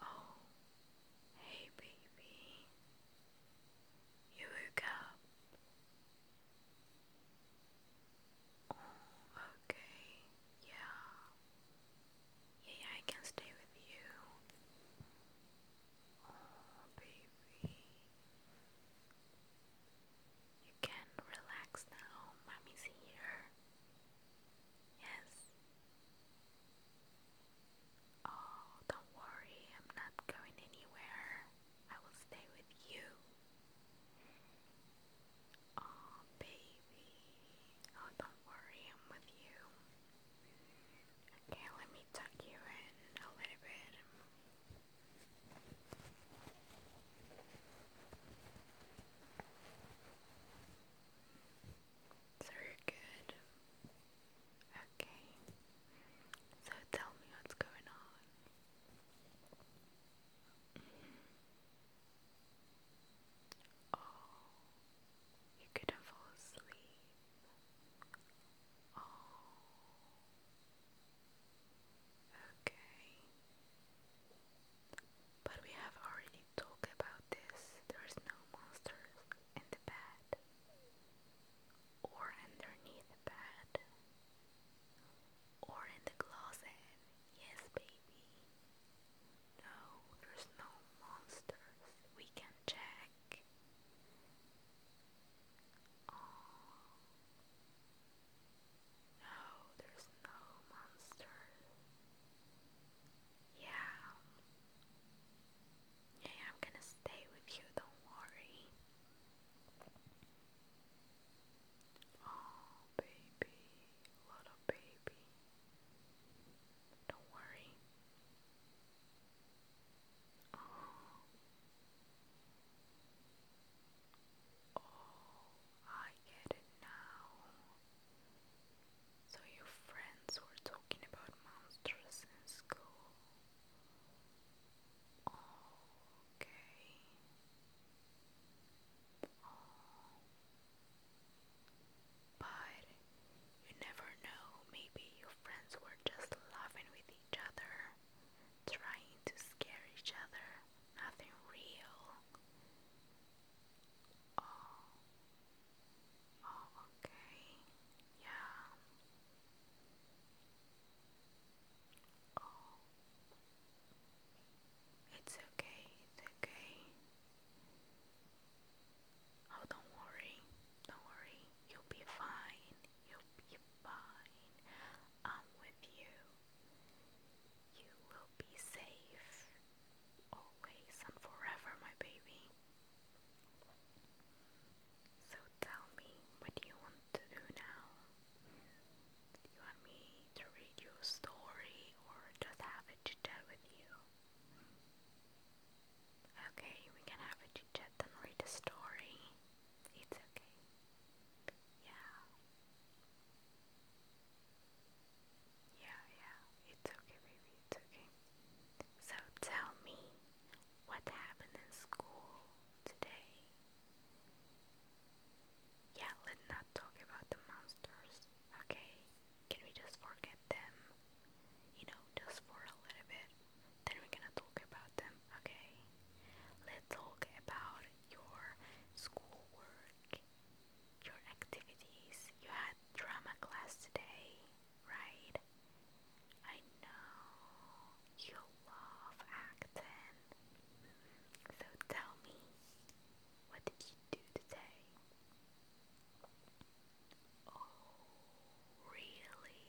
Oh, hey baby, you woke up. Oh, okay, yeah. Yeah, I can stay with you. Oh, baby. You can relax now. Mommy's here. Yes. Oh, don't worry, I'm not going anywhere. I will stay with you. Oh, baby. Oh, don't worry, I'm with you. Okay, let me tuck you in a little bit. Very good. Okay. So tell me what's going on. Mm-hmm. Oh, you couldn't fall asleep. Oh. Okay. But we have already talked about this. There's no monsters in the bed or underneath the bed or in the closet. Yes, baby. No, there's no monsters. We can check. Oh. No, there's no monster. Yeah. Yeah, I'm gonna stay with you, don't worry. Oh, baby, little baby. Don't worry. Oh. Oh, I get it now. So your friends were talking about monsters in school. Okay. But you never know, maybe your friends were just laughing with each other trying to scare each other, nothing real. Oh, oh, okay, yeah. Oh, it's okay, it's okay. Oh, don't worry, don't worry, you'll be fine. You'll be fine. I'm with you. You will be safe. Always and forever, my baby. So tell me, what do you want to do now? you want me to read you a story or just have a chit chat with you? Okay, we can have a chit chat and read a story. It's okay. Yeah. Yeah, yeah. It's okay, baby. It's okay. So tell me what happened in school today. Yeah, let's not talk about the monsters, okay? Can we just forget them? You know, just for a little bit. Then we're gonna talk about them, okay? Let's talk about your schoolwork, your activities. You had drama class today, right? I know you love acting. So tell me, what did you do today? Oh, really?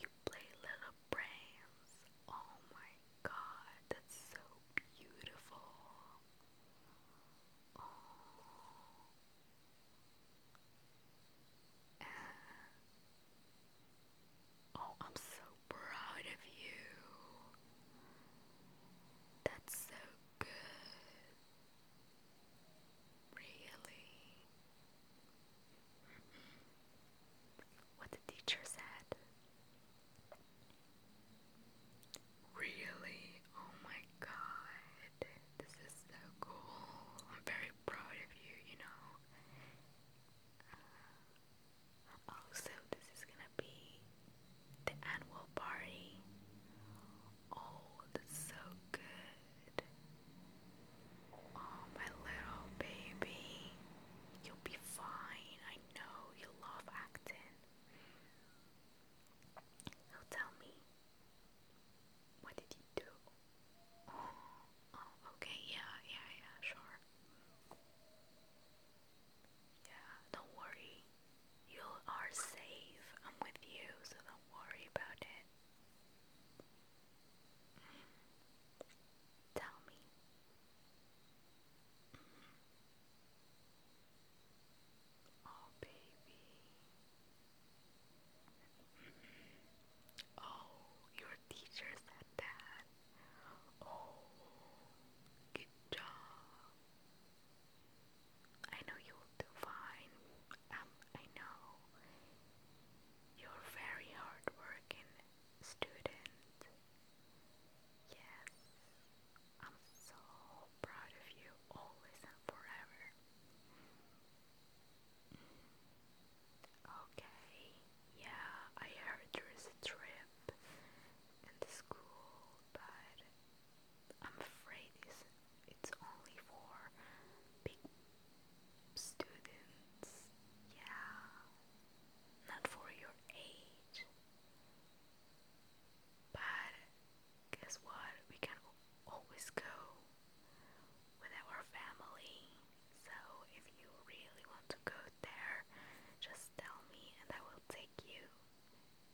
You play little brains. Oh my god, that's so beautiful. Oh. Oh, I'm so proud of you. That's so good. Really? what the teacher said. Really? Oh my god. This is so cool. I'm very proud of you, you know. Uh, also, this is gonna be the annual party old, oh, so good. Oh, my little baby. You'll be fine. I know you love acting. Now tell me, what did you do? Oh, oh okay, yeah, yeah, yeah, sure. Yeah, don't worry. You are safe. I'm with you, so don't worry about it. Tell me. Oh, baby. Oh, your teacher said that. Oh, good job. I know you will do fine. Um, I know you're very hardworking student. Yes, I'm so proud of you always and forever. Okay, yeah, I heard there is a trip in the school, but I'm afraid it's, it's only for big students. Yeah, not for your age. But guess what? We can always go with our family. So if you really want to go there, just tell me and I will take you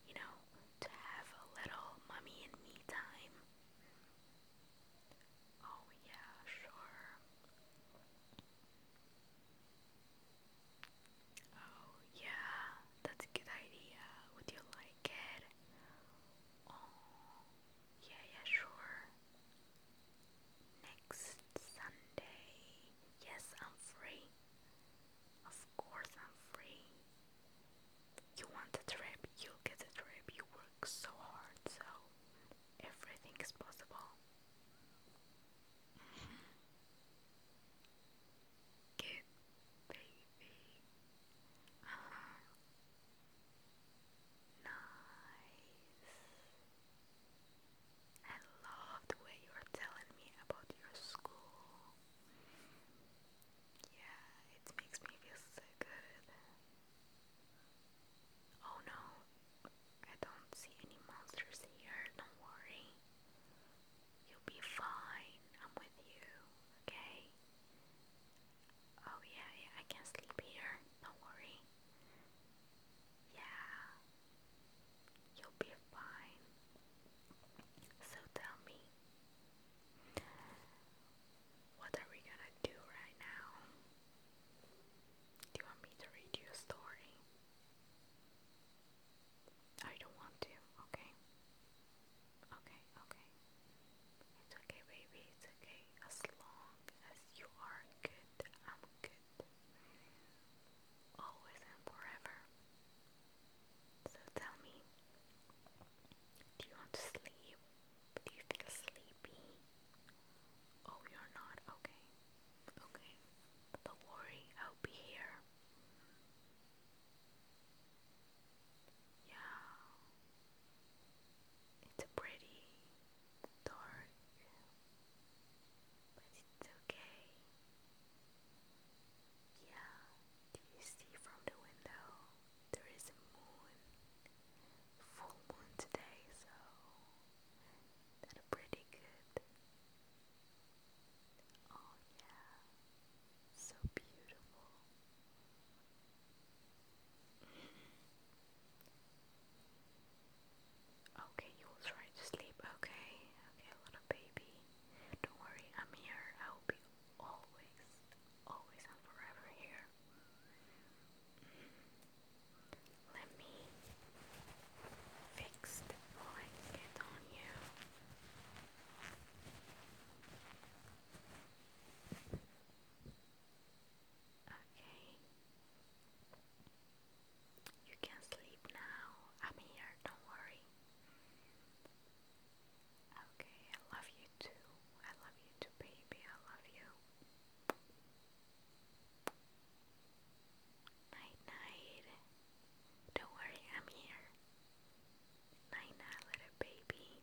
you know, to have a little mummy and me time. Oh, yeah, sure. Oh, yeah, that's a good idea. Would you like it? Oh, yeah, yeah, sure. Next Sunday. Yes, I'm free. Of course, I'm free. You want a trip, you get a trip. You work so hard, so everything is possible. Mm-hmm. Good baby. Uh-huh. Nice. I love the way you're telling me about your school. Yeah, it makes me feel so good. Oh no, I don't see any monsters here, don't worry. You'll be fine, I'm with you, okay? Oh yeah, I can sleep here, don't worry. Yeah, You'll be fine. So tell me, what are we gonna do right now? Do you want me to read you a story? I don't want to, okay? Okay, okay. It's okay, baby, it's okay. As long as you are good, I'm good. Always and forever. So tell me, do you want to sleep? Do you feel sleepy? Oh, you're not? Okay. Okay. Don't worry, I'll be here. Yeah. It's pretty dark, but it's okay. Yeah, do you see from the window? There is a moon, full moon today, so that's pretty good. Oh, yeah, so beautiful. Okay, you will try to sleep. Okay, okay, little baby. Don't worry, I'm here. I will be always, always and forever here. Let me fix the blanket on you. Okay. You can sleep now. I'm here, don't worry. Okay, I love you too. I love you too, baby. I love you. Night, night. Don't worry, I'm here. Night, night, little baby.